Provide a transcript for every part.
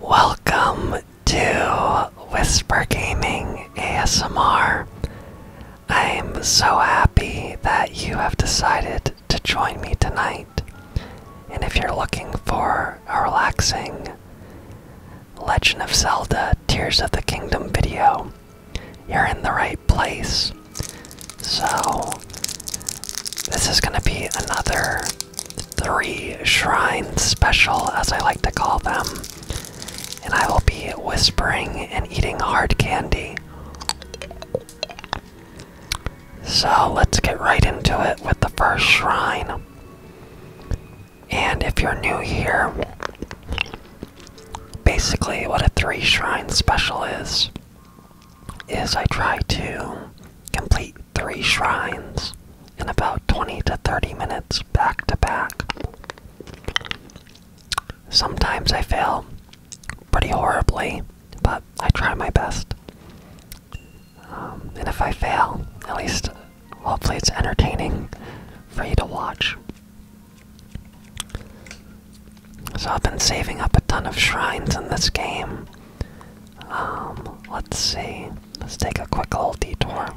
Welcome to Whisper Gaming ASMR. I am so happy that you have decided to join me tonight. And if you're looking for a relaxing Legend of Zelda Tears of the Kingdom video, you're in the right place. So, this is going to be another three shrine special, as I like to call them, and I will be whispering and eating hard candy. So let's get right into it with the first shrine. And if you're new here, basically what a three shrine special is, is I try to complete three shrines in about 20 to 30 minutes back to back. Sometimes I fail pretty horribly, but I try my best. Um, and if I fail, at least hopefully it's entertaining for you to watch. So I've been saving up a ton of shrines in this game. Um, let's see let's take a quick little detour.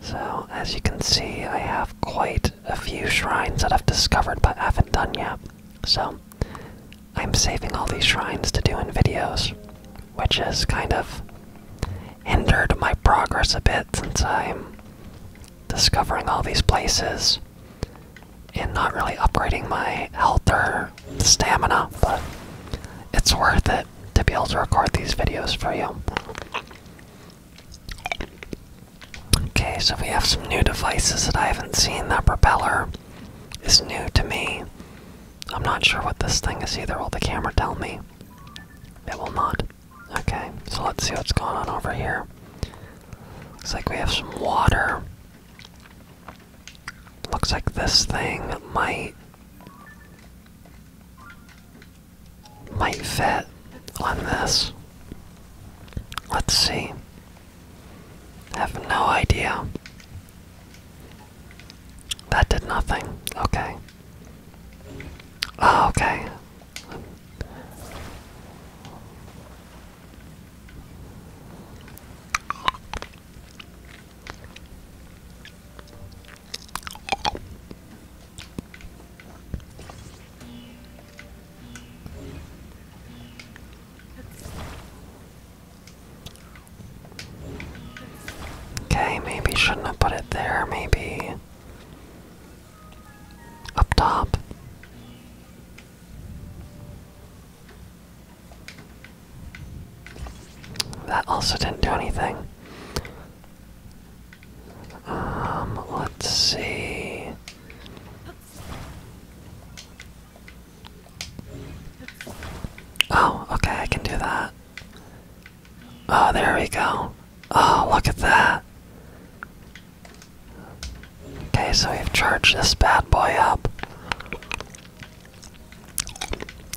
So, as you can see, I have quite a few shrines that I've discovered but haven't done yet. So, I'm saving all these shrines to do in videos, which has kind of hindered my progress a bit since I'm discovering all these places and not really upgrading my health or stamina, but it's worth it to be able to record these videos for you. Okay, so we have some new devices that I haven't seen. That propeller is new to me. I'm not sure what this thing is either. Will the camera tell me? It will not. Okay, so let's see what's going on over here. Looks like we have some water. Looks like this thing might might fit on this. Let's see. I have no idea. That did nothing. Okay. Oh, okay. Okay, maybe shouldn't have put it there, maybe up top. That also didn't do anything. Um, let's see. Oh, okay, I can do that. Oh, there we go. Oh, look at that. Okay, so we've charged this bad boy up.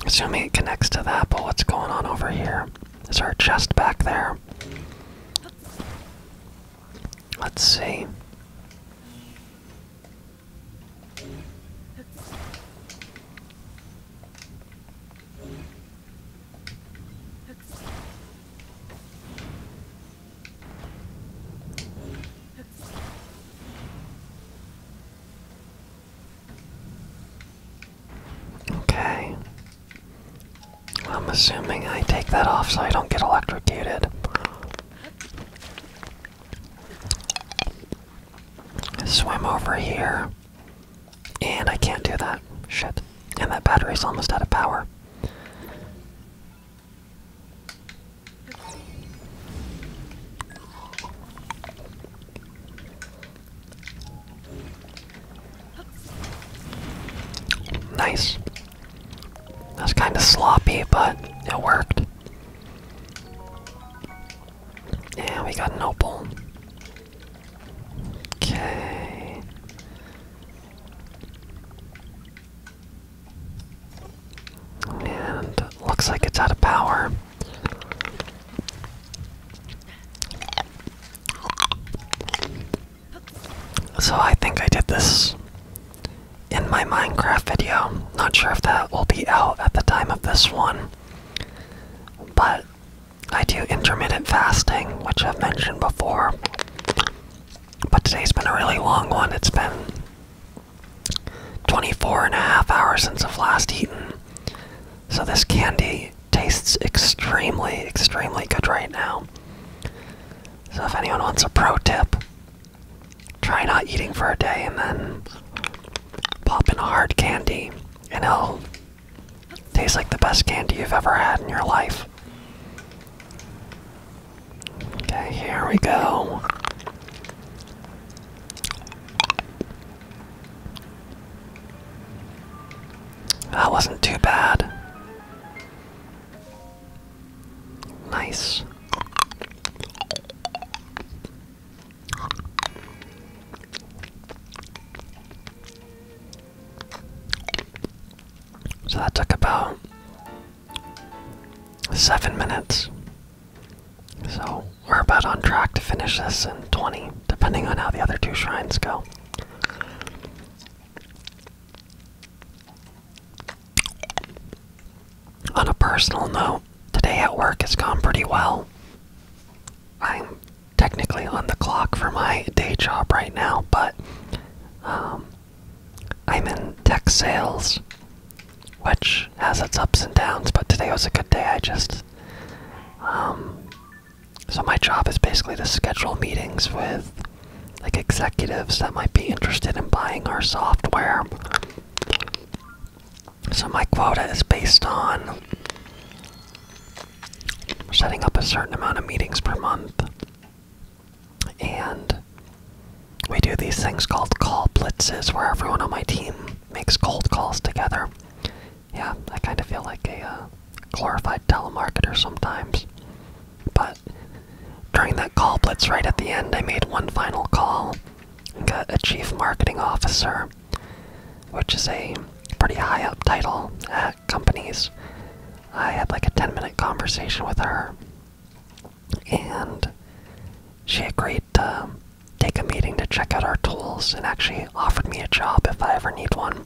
Assuming it connects to that, but what's going on over here? Is our chest back there? Let's see. Okay. I'm assuming I take that off so I don't get electrocuted. swim over here. And I can't do that. Shit. And that battery's almost out of power. Nice. That's kind of sloppy, but it worked. Yeah, we got an opal. Okay. And looks like it's out of power. So I think I did this in my Minecraft video. Not sure if that will be out at the time of this one. But I do intermittent fasting, which I've mentioned before. But today's been a really long one. It's been 24 and a half hours since I've last eaten. So this candy tastes extremely, extremely good right now. So if anyone wants a pro tip, try not eating for a day and then pop in a hard candy and it'll taste like the best candy you've ever had in your life. Okay, here we go. That wasn't too bad. Nice. So that took about seven minutes. So we're about on track to finish this in 20, depending on how the other two shrines go. On a personal note, today at work has gone pretty well. I'm technically on the clock for my day job right now, but um, I'm in tech sales, which has its ups and downs, but today was a good day. I just. Um, so, my job is basically to schedule meetings with like executives that might be interested in buying our software. So, my quota is based on setting up a certain amount of meetings per month. And we do these things called call blitzes where everyone on my team makes cold calls together. Yeah, I kind of feel like a uh, glorified telemarketer sometimes. But during that call blitz right at the end, I made one final call and got a chief marketing officer, which is a pretty high up title at companies. I had like a 10 minute conversation with her and she agreed to take a meeting to check out our tools and actually offered me a job if I ever need one.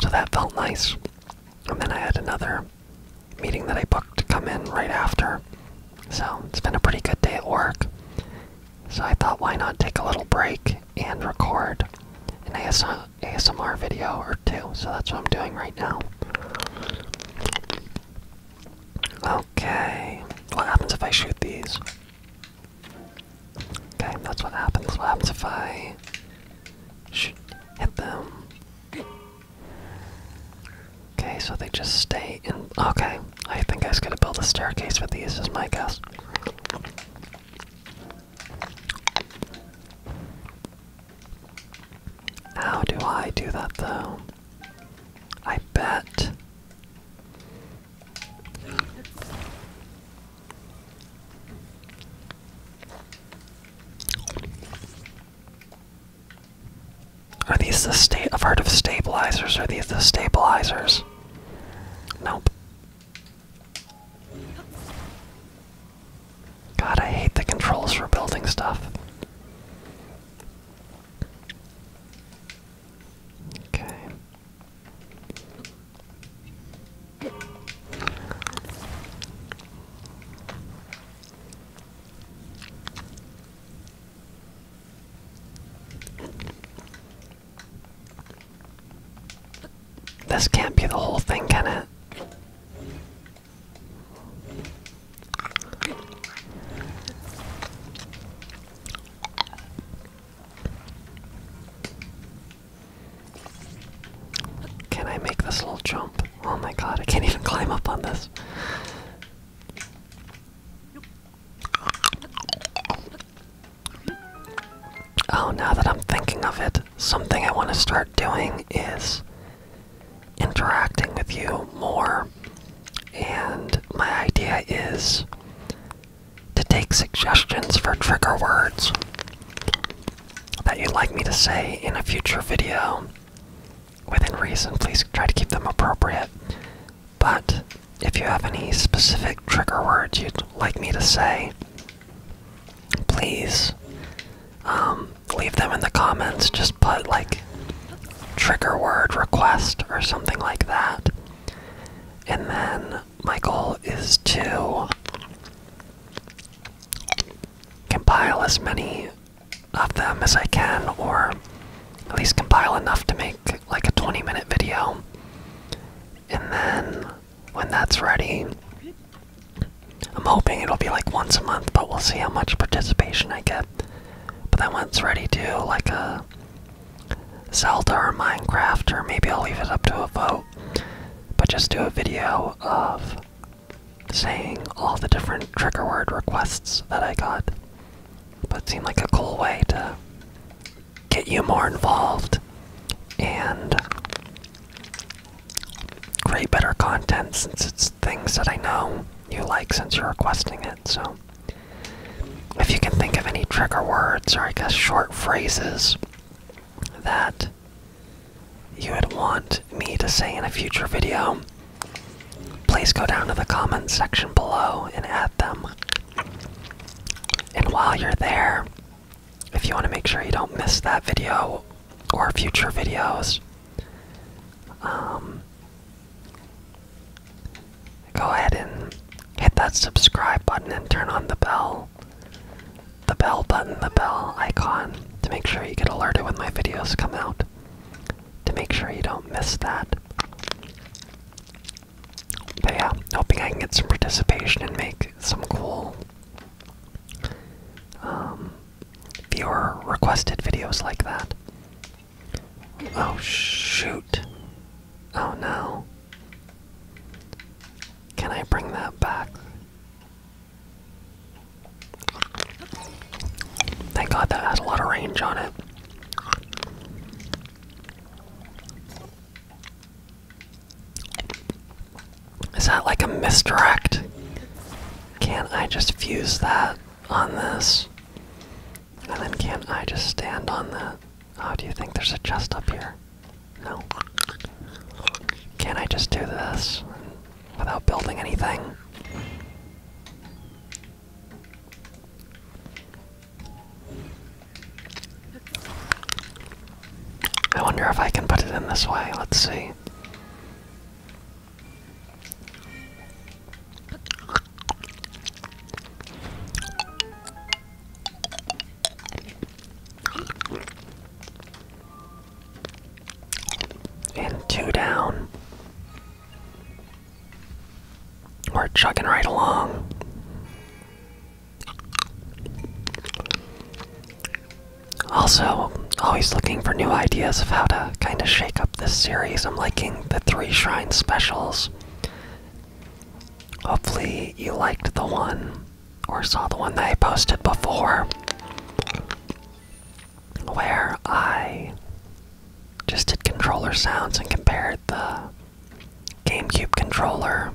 So that felt nice. And then I had another meeting that I booked to come in right after. So it's been a pretty good day at work. So I thought, why not take a little break and record an ASMR ASMR video or two, so that's what I'm doing right now. Okay, what happens if I shoot these? Okay, that's what happens. What happens if I shoot, hit them? Okay, so they just stay in. Okay, I think I was gonna build a staircase with these, is my guess. How do I do that though? I bet. Are these the state? I've heard of stabilizers. Are these the stabilizers? Nope. God, I hate the controls for building stuff. Okay. This can't be the whole thing, can it? Can I make this little jump? Oh my god, I can't even climb up on this. Oh, now that I'm thinking of it, something I want to start doing is interacting with you more. And my idea is to take suggestions for trigger words that you'd like me to say in a future video. Within reason, please try to keep them appropriate. But if you have any specific trigger words you'd like me to say, please um, leave them in the comments. Just put like trigger word request or something like that. And then my goal is to compile as many of them as I can, or at least compile enough to make like a 20 minute video. And then when that's ready, I'm hoping it'll be like once a month, but we'll see how much participation I get. But then once ready to like a uh, Zelda or Minecraft, or maybe I'll leave it up to a vote. But just do a video of saying all the different trigger word requests that I got. But it seemed like a cool way to get you more involved and create better content since it's things that I know you like since you're requesting it. So, if you can think of any trigger words or I guess short phrases that you would want me to say in a future video, please go down to the comments section below and add them. And while you're there, if you want to make sure you don't miss that video or future videos. Um, go ahead and hit that subscribe button and turn on the bell. The bell button, the bell icon, to make sure you get alerted when my videos come out. To make sure you don't miss that. But yeah, hoping I can get some participation and make some cool um, viewer requested videos like that. Oh shoot. Oh no. Can I bring that back? Thank God that has a lot of range on it. Is that like a misdirect? Can't I just fuse that on this? And then can't I just stand on the? How oh, do you think there's a chest up here? No. Can I just do this without building anything? I wonder if I can put it in this way. Let's see. And two down. We're chugging right along. Also, always looking for new ideas of how to kind of shake up this series. I'm liking the three shrine specials. Hopefully, you liked the one or saw the one that I posted before where I just did controller sounds and compared the GameCube controller,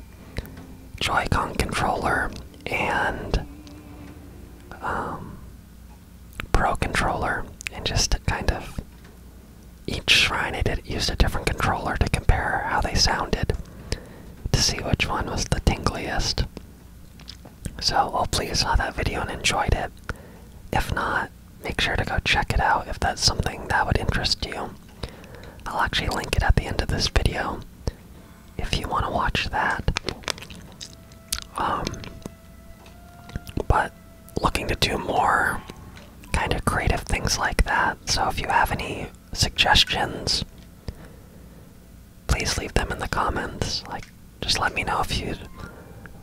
Joy-Con controller, and um, Pro controller, and just kind of each shrine I did used a different controller to compare how they sounded to see which one was the tingliest. So hopefully you saw that video and enjoyed it. If not, make sure to go check it out if that's something that would interest you. I'll actually link it at the end of this video if you want to watch that. Um, but looking to do more kind of creative things like that. So if you have any suggestions, please leave them in the comments. Like, just let me know if you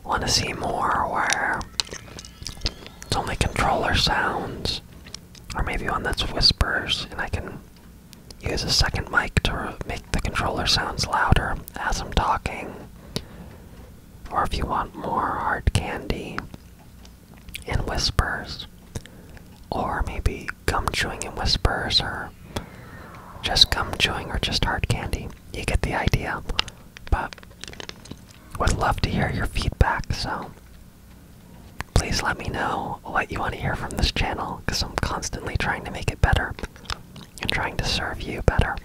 want to see more where it's only controller sounds, or maybe one that's whispers, and I can Use a second mic to make the controller sounds louder as I'm talking. Or if you want more hard candy in whispers. Or maybe gum chewing in whispers, or just gum chewing, or just hard candy. You get the idea. But would love to hear your feedback, so please let me know what you want to hear from this channel because I'm constantly trying to make it better and trying to serve you better.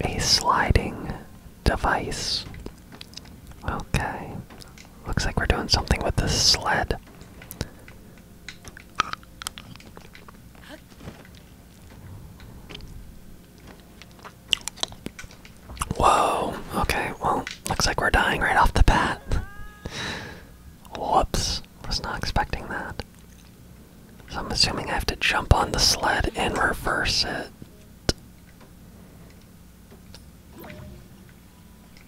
A sliding device. Okay. Looks like we're doing something with this sled. Whoa, okay, well, looks like we're dying right off the bat. Whoops, was not expecting that. So I'm assuming I have to jump on the sled and reverse it.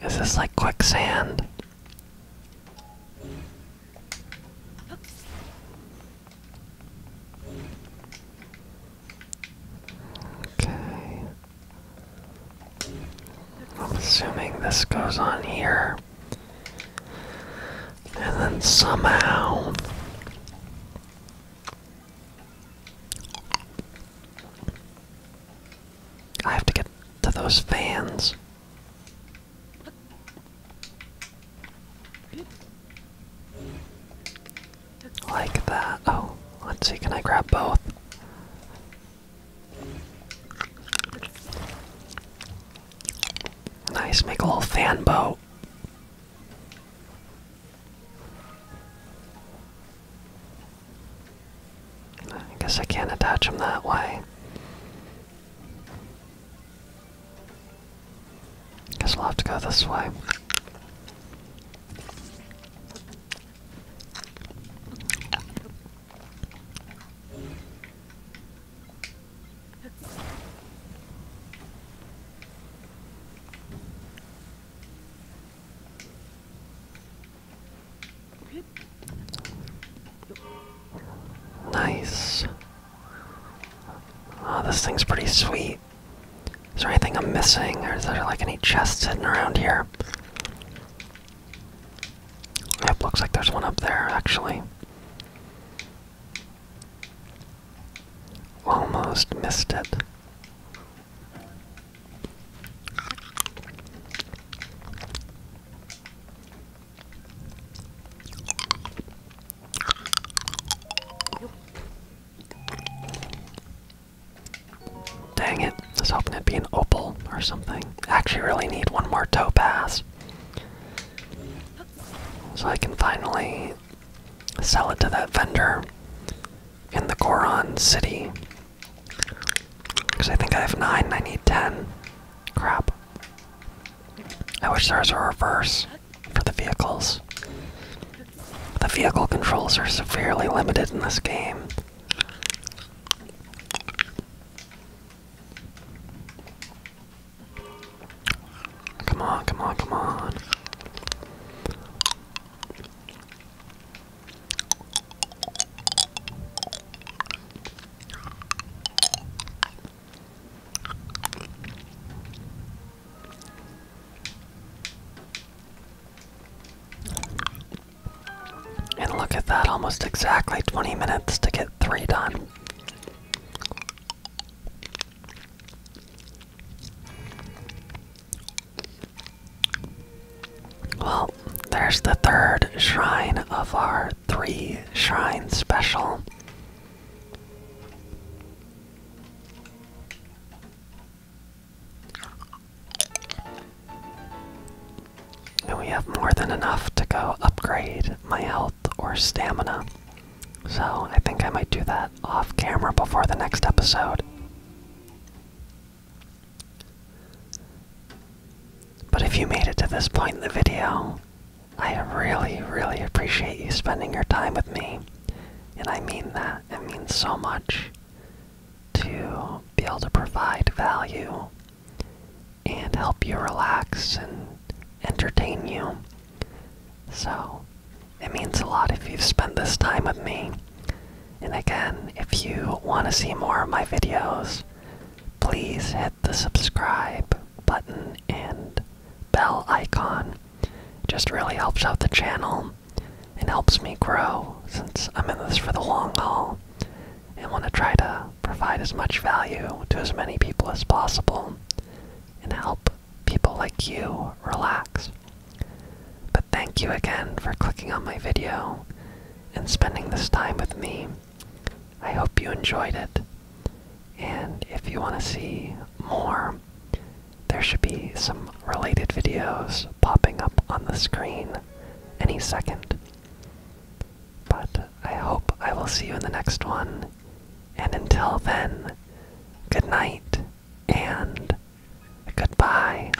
This Is like quicksand? Okay. I'm assuming this goes on here. And then somehow. I have to get to those fans. Like that. Oh, let's see, can I grab both? Nice, make a little fan boat. I guess I can't attach them that way. Guess we'll have to go this way. Nice. Oh, this thing's pretty sweet. Is there anything I'm missing, or is there like any chests hidden around here? Yep, looks like there's one up there actually. Almost missed it. Dang it, I was hoping it'd be an opal or something. I actually really need one more topaz. So I can finally sell it to that vendor in the Goron city because I think I have 9 and I need 10. Crap. I wish there was a reverse for the vehicles. The vehicle controls are severely limited in this game. Come on, come on, come on. And look at that, almost exactly 20 minutes to get three done. Well, there's the third shrine of our three shrine special. And we have more than enough to go upgrade my health or stamina. So I think I might do that off camera before the next episode. But if you made it to this point in the video, I really, really appreciate you spending your time with me. And I mean that. It means so much to be able to provide value and help you relax and entertain you. So, it means a lot if you've spent this time with me. And again, if you want to see more of my videos, please hit the subscribe button and bell icon. Just really helps out the channel and helps me grow since I'm in this for the long haul and want to try to provide as much value to as many people as possible and help people like you relax. But thank you again for clicking on my video and spending this time with me. I hope you enjoyed it. And if you want to see more, there should be some related videos popping up on the screen any second. But I hope I will see you in the next one. And until then, good night and goodbye.